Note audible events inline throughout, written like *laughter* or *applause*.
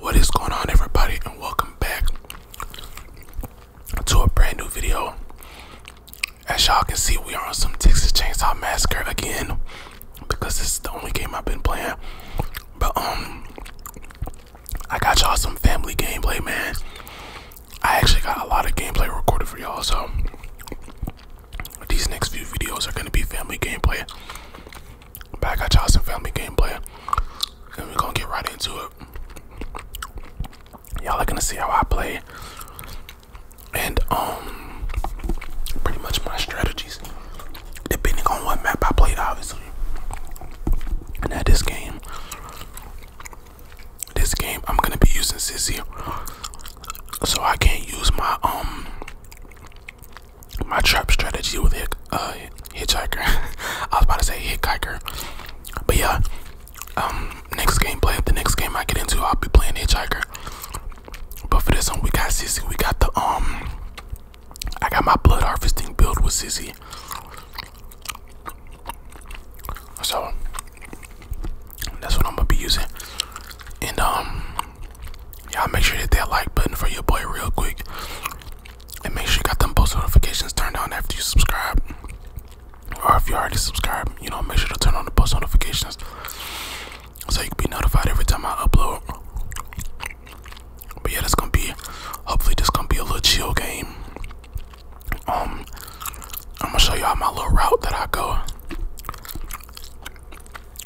What is going on, everybody, and welcome back to a brand new video. As y'all can see, we are on some Texas Chainsaw Massacre again because this is the only game I've been playing. But um, I got y'all some family gameplay, man. I actually got a lot of gameplay recorded for y'all, so these next few videos are gonna be family gameplay. Back at y'all some family gameplay. And we're gonna get right into it. Y'all are gonna see how I play. And um pretty much my strategies. Depending on what map I played, obviously. And at this game. This game I'm gonna be using Sissy. So I can't use my um my trap strategy with hit, uh, hitchhiker. *laughs* I was about to say hitchhiker, but yeah. Um, next gameplay, the next game I get into, I'll be playing hitchhiker. But for this one, we got Sissy. We got the um, I got my blood harvesting build with Sissy. So that's what I'm gonna be using. And um, y'all make sure to hit that like button for your boy real quick and make sure you got them post notifications turned on after you subscribe. Or if you already subscribed, you know, make sure to turn on the post notifications so you can be notified every time I upload. But yeah, that's gonna be hopefully this gonna be a little chill game. Um I'm gonna show y'all my little route that I go.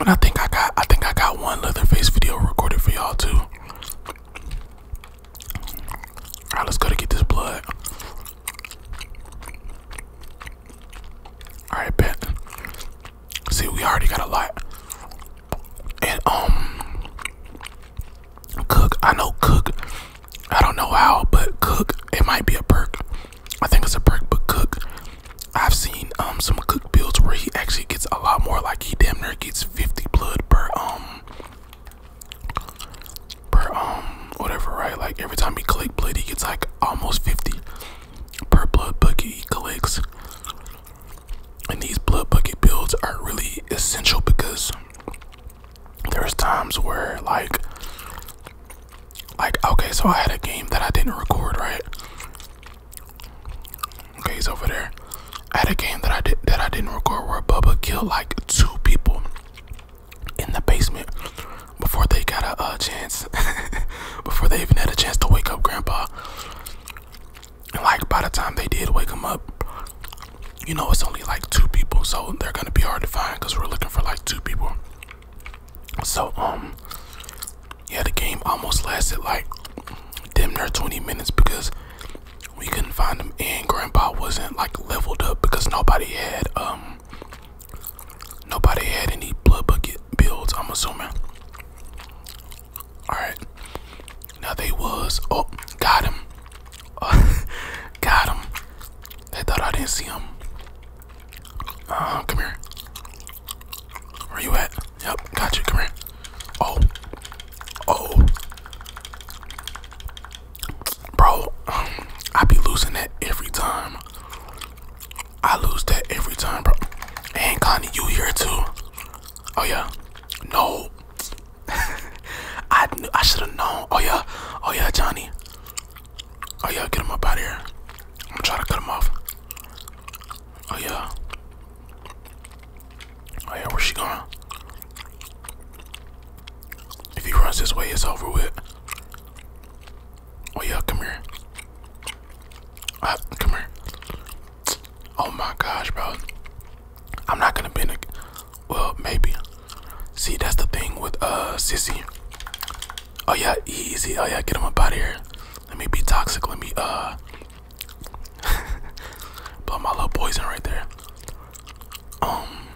And I think I got I think I got one Leatherface video recorded for y'all too. All right, let's go to get this blood. All right, bet. See, we already got a lot. And um, cook. I know cook. I don't know how, but cook. It might be a perk. I think it's a perk, but cook. I've seen um some cook builds where he actually gets a lot more. Like he damn near gets 50 blood per um per um whatever right like every time he collect blood he gets like almost 50 per blood bucket he collects and these blood bucket builds are really essential because there's times where like like okay so i had a game that i didn't record right Okay, he's over there. I had a game that I did that I didn't record where Bubba killed like two people in the basement before they got a chance, *laughs* before they even had a chance to wake up Grandpa. And like by the time they did wake him up, you know it's only like two people, so they're gonna be hard to find because we're looking for like two people. So um, yeah, the game almost lasted like them there 20 minutes because we couldn't find them. and grandpa wasn't like leveled up because nobody had um nobody had any blood bucket builds i'm assuming all right now they was oh got him *laughs* got him they thought i didn't see him uh come here where you at Yep, got you. Come Oh, oh, bro. Um, I be losing that every time. I lose that every time, bro. And Connie, you here too? Oh yeah. No. *laughs* I I should have known. Oh yeah. Oh yeah, Johnny. Oh yeah, get him up out of here. I'm gonna try to cut him off. Oh yeah. Oh yeah, where's she going? If he runs this way, it's over with. Oh yeah, come here. Uh, come here. Oh my gosh, bro. I'm not gonna be in a, well, maybe. See, that's the thing with uh Sissy. Oh yeah, easy. Oh yeah, get him up out of here. Let me be toxic. Let me uh *laughs* but my little poison right there. Um.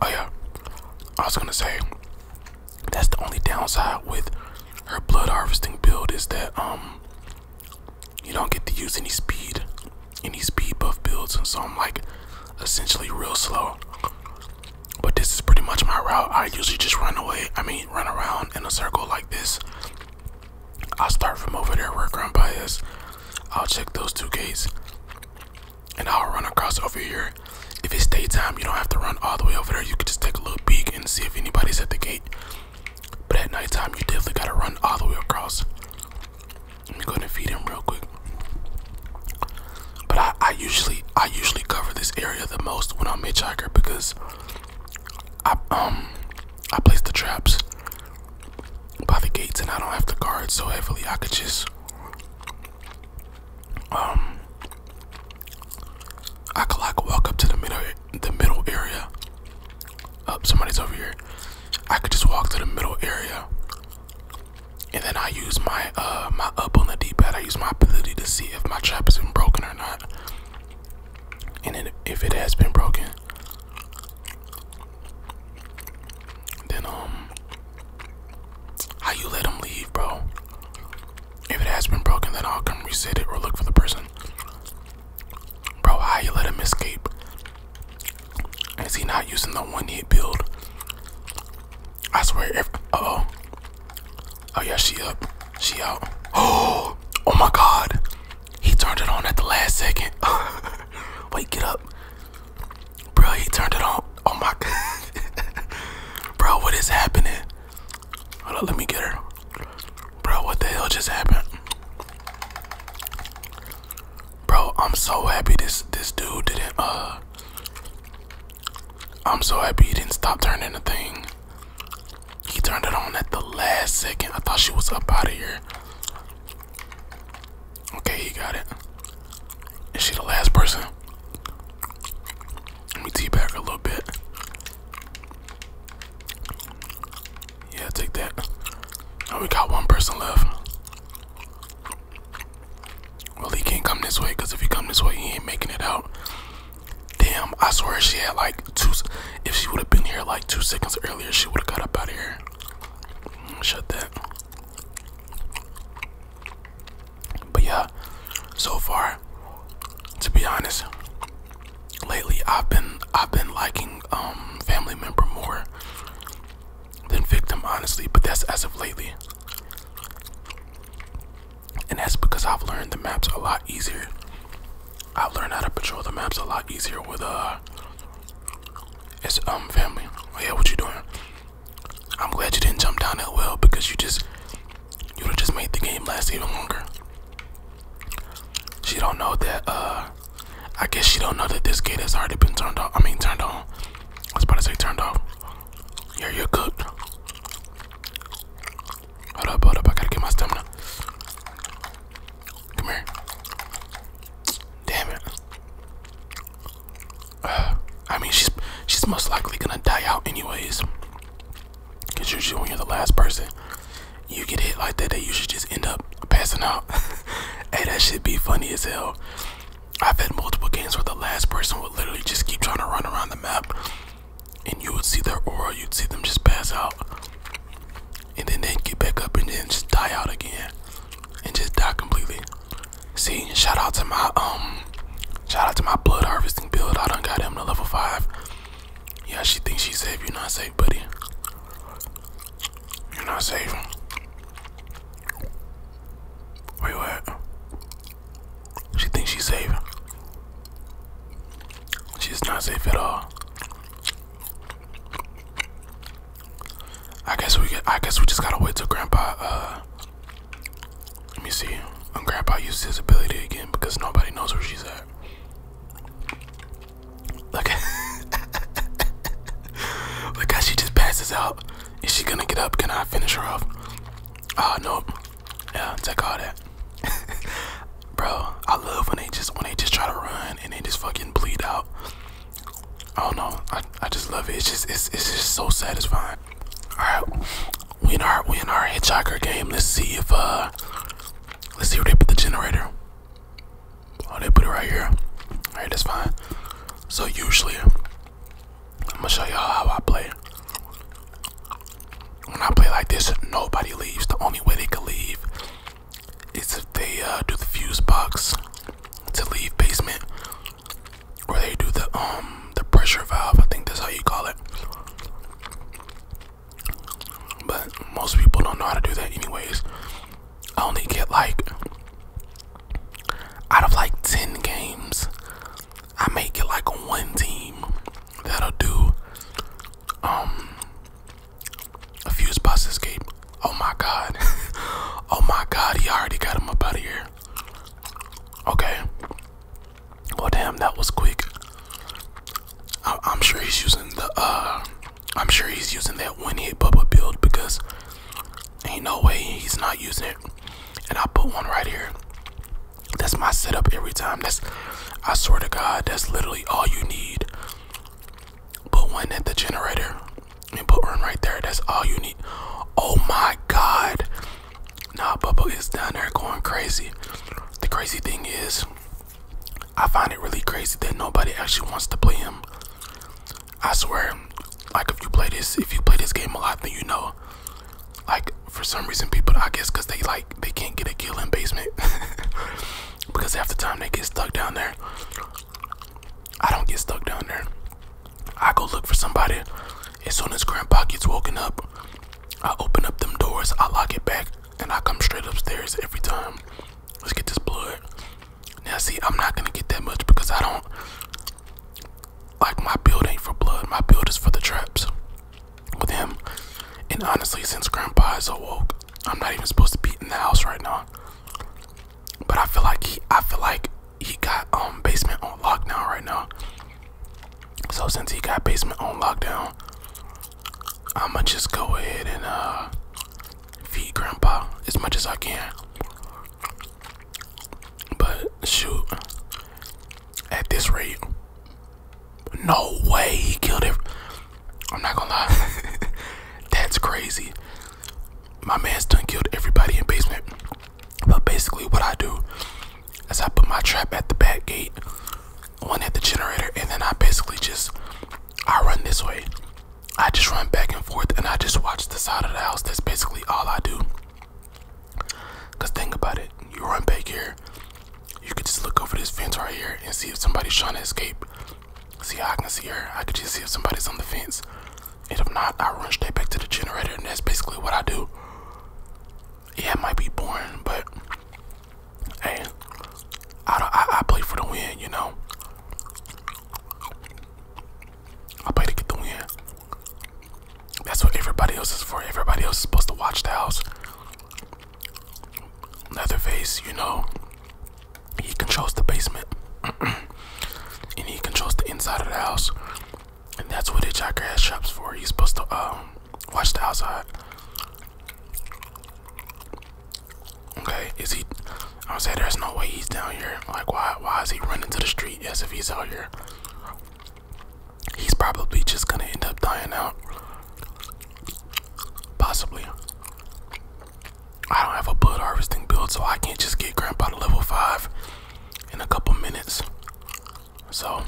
Oh yeah. I was gonna say that's the only downside with her blood harvesting build is that um you don't get to use any speed, any speed buff builds, and so I'm like essentially real slow. But this is pretty much my route. I usually just run away. I mean, run around in a circle like this I'll start from over there where Grandpa is. I'll check those two gates and I'll run across over here. If it's daytime, you don't have to run all the way over there. You can just take a little peek and see if anybody's at the gate. But at nighttime, you definitely gotta run all the way across. Let me go ahead and feed him real quick. But I, I usually I usually cover this area the most when I'm hitchhiker because I um I place the traps by the gates, and I don't have to guard so heavily. I could just um, I could like walk up to the middle, the middle area. Up, oh, somebody's over here. I could just walk to the middle area, and then I use my uh, my up on the D-pad. I use my ability to see if my trap has been broken or not, and if it has been broken, then um, how you let them leave, bro? If it has been broken, then I'll come reset it or look for the person. Bro, how you let him escape? Is he not using the one-hit build? I swear, if, oh, oh yeah, she up, she out. Oh, *gasps* oh my God, he turned it on at the last second. *laughs* Wait, get up. Bro, he turned it on. Oh my god. *laughs* Bro, what is happening? Hold on, let me get her. Bro, what the hell just happened? Bro, I'm so happy this this dude didn't uh I'm so happy he didn't stop turning the thing. He turned it on at the last second. I thought she was up out of here. Okay, he got it. Is she the last person? Let me tee a little bit. Yeah, take that. Now we got one person left. Well, he can't come this way because if he come this way, he ain't making it out. Damn, I swear she had like two. If she would have been here like two seconds earlier, she would have got up out of here. Shut that. But yeah, so far, to be honest, lately I've been I've been liking um family member more than victim, honestly. But that's as of lately, and that's because I've learned the maps a lot easier I've learned how to patrol the maps a lot easier with uh it's um family. Oh, yeah, what you doing? I'm glad you didn't jump down that well because you just you'd have just made the game last even longer. She don't know that uh I guess she don't know that this gate has already been turned off. I mean turned on. I was about to say turned off. Yeah, you're good. Hold up, hold up, I gotta get my stamina. Come here. Damn it. *sighs* I mean, she's she's most likely gonna die out anyways. Cause usually when you're the last person, you get hit like that. That you should just end up passing out. *laughs* hey, that should be funny as hell. I've had multiple games where the last person would literally just keep trying to run around the map, and you would see their aura. You'd see them just pass out and then they get back up and then just die out again and just die completely. See, shout out to my um shout out to my blood harvesting build. I done got him to level five. Yeah, she thinks she's safe. You're not safe, buddy. You're not safe. Where you at? She thinks she's safe. She's not safe at all. I guess we get. I guess we just gotta wait till Grandpa. Uh, let me see. When Grandpa uses his ability again, because nobody knows where she's at. Look at. *laughs* Look how she just passes out. Is she gonna get up? Can I finish her off? Oh uh, no. Yeah, take all that. *laughs* Bro, I love when they just when they just try to run and they just fucking bleed out. I don't know. I, I just love it. It's just it's it's just so satisfying. Alright. We in our we in our hitchhiker game. Let's see if uh let's see where they put the generator. Oh they put it right here. Alright, that's fine. So usually I'm gonna show y'all how I play. When I play like this, nobody leaves. The only way they could leave it's if they uh, do the fuse box to leave basement, or they do the um the pressure valve. I think that's how you call it. But most people don't know how to do that, anyways. I only get like out of like ten games, I make it like one team that'll do um a fuse bus escape. Oh my god. *laughs* oh my god, he already got him up out of here. Okay. Well damn, that was quick. I I'm sure he's using the uh I'm sure he's using that one hit bubble build because ain't no way he's not using it. And I put one right here. That's my setup every time. That's I swear to God, that's literally all you need. Put one at the generator and put one right there. That's all you need. Oh my god. Nah, Bubble is down there going crazy. The crazy thing is, I find it really crazy that nobody actually wants to play him. I swear, like if you play this, if you play this game a lot, then you know. Like for some reason, people I guess because they like they can't get a kill in basement. *laughs* because half the time they get stuck down there. I don't get stuck down there. I go look for somebody. As soon as grandpa gets woken up, I open up them doors, I lock it back, and I come straight upstairs every time. Let's get this blood. Now see, I'm not gonna get that much because I don't like my build ain't for blood, my build is for the traps. With him. And honestly, since grandpa is awoke, I'm not even supposed to be in the house right now. But I feel like he I feel like he got um basement on lockdown right now. So since he got basement on lockdown, I'ma just go ahead and uh feed grandpa as much as I can. But shoot at this rate. No way he killed it. I'm not gonna lie. *laughs* That's crazy. My man's done killed everybody in basement. But basically what I do is I put my trap at the back gate, one at the generator, and then I basically just I run this way. I just run back and forth and I just watch the side of the house. That's basically all I do. Cause think about it, you run back here, you could just look over this fence right here and see if somebody's trying to escape. See how I can see her. I can just see if somebody's on the fence. And if not, I run straight back to the generator, and that's basically what I do. Yeah, it might be boring, but hey, I, I, I play for the win, you know. I play to get the win. That's what everybody else is for. Everybody else is supposed to watch the house. Leatherface, you know, he controls the basement. *clears throat* and he controls the inside of the house. And that's what Hitchhiker has shops for. He's supposed to uh watch the outside. Okay, is he I would say there's no way he's down here. Like why why is he running to the street Yes, if he's out here? He's probably just gonna end up dying out. Possibly. I don't have a blood harvesting build, so I can't just get Grandpa to level 5 in a couple minutes. So,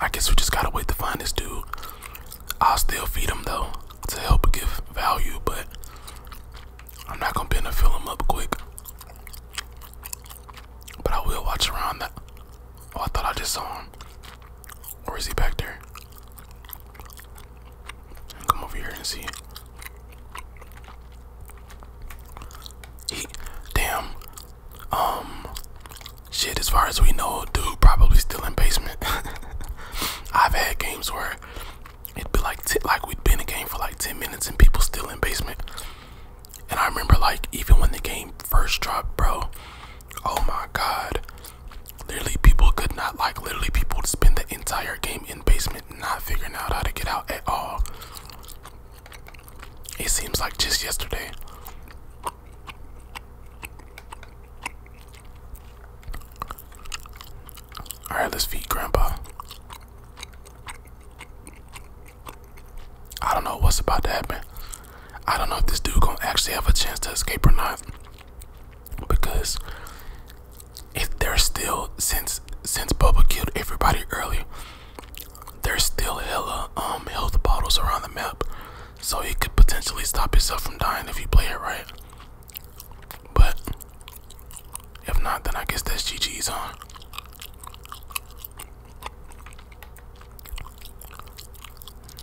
I guess we just gotta wait to find this dude. I'll still feed him though to help give value, but I'm not gonna be able to fill him up quick. But I will watch around that. Oh, I thought I just saw him. Or is he back there? Come over here and see. He, damn. Um, shit. As far as we know, dude probably still in basement. *laughs* I've had games where it'd be like like we'd been in a game for like ten minutes and people still in basement. And I remember like even when the game first dropped, bro. Oh my god. Literally, people could not like. Literally, people spend the entire game in basement, not figuring out how to get out at all. It seems like just yesterday. All right, let's feed Grandpa. I don't know what's about to happen. I don't know if this dude gonna actually have a chance to escape or not because if there's still since since Bubba killed everybody early, there's still hella um health bottles around the map, so he could potentially stop himself from dying if you play it right. But if not, then I guess that's GG's on.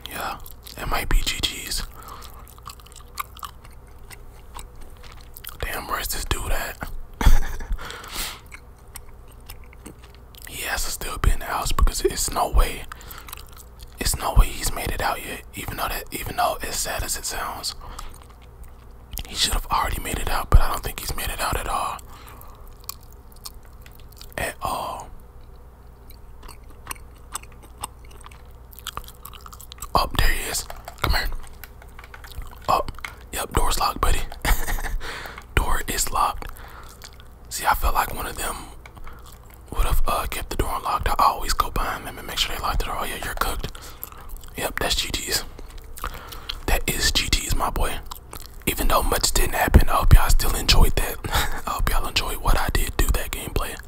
Yeah, it might be GG's. Damn, where's this dude at? *laughs* he has to still be in the house because it's no way, it's no way he's made it out yet. Even though that, even though as sad as it sounds, he should have already made it out. But I don't think he's made it out at all. At all. Up, there he is. Come here. Up. yep, door's locked, buddy. *laughs* door is locked. See, I felt like one of them would have uh, kept the door unlocked. I always go behind them and make sure they lock the door. Oh, yeah, you're cooked. Yep, that's GT's. That is GT's, my boy. Even though much didn't happen, I hope y'all still enjoyed that. *laughs* I hope y'all enjoyed what I did do that gameplay.